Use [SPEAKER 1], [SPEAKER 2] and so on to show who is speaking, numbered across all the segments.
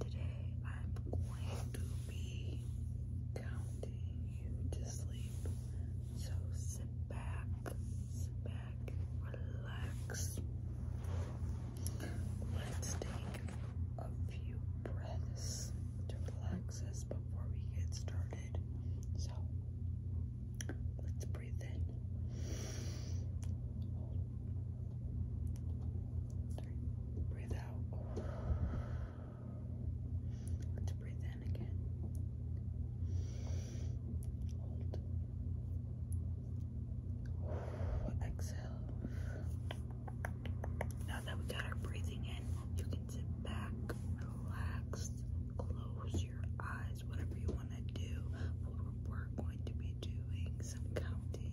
[SPEAKER 1] Today I'm going to be counting you to sleep. So sit back, sit back, relax. Let's take a few breaths to relax us before we get started. So let's breathe in. Breathe out. Let's breathe in again. Hold. Exhale. Now that we got our breathing in, you can sit back, relax, close your eyes, whatever you want to do. But we're going to be doing some counting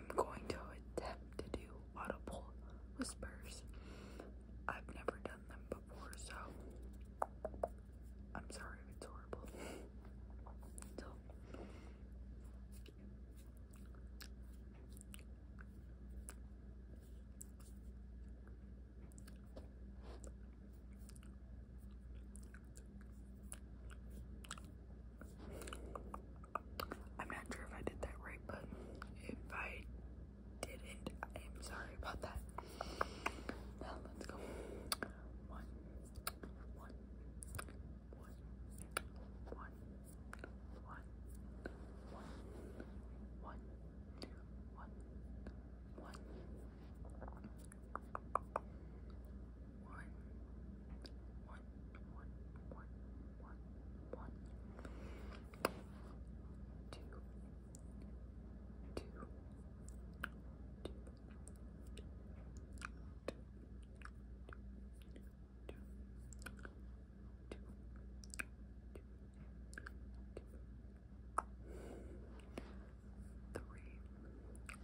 [SPEAKER 1] I'm going to attempt to do audible whispers. I've never done them before, so I'm sorry if it's horrible. so, I'm not sure if I did that right, but if I didn't, I'm sorry about that. Now let's go. One, one, one, one, one, one, one, one, one, one. One, one, one, one, one, one. Two, two, two, two,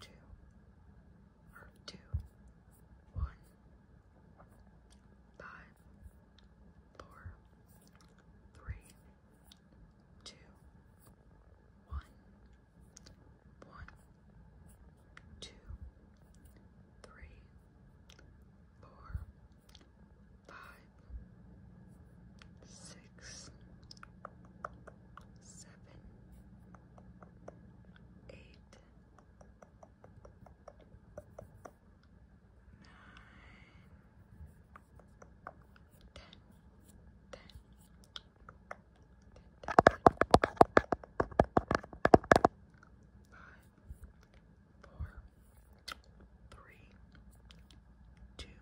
[SPEAKER 1] two, or two, one, five, four, three, two, one, one, two, three, four, five, six six, seven, eight, nine, ten, ten, ten, ten, ten. Five, four, three, two,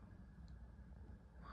[SPEAKER 1] one.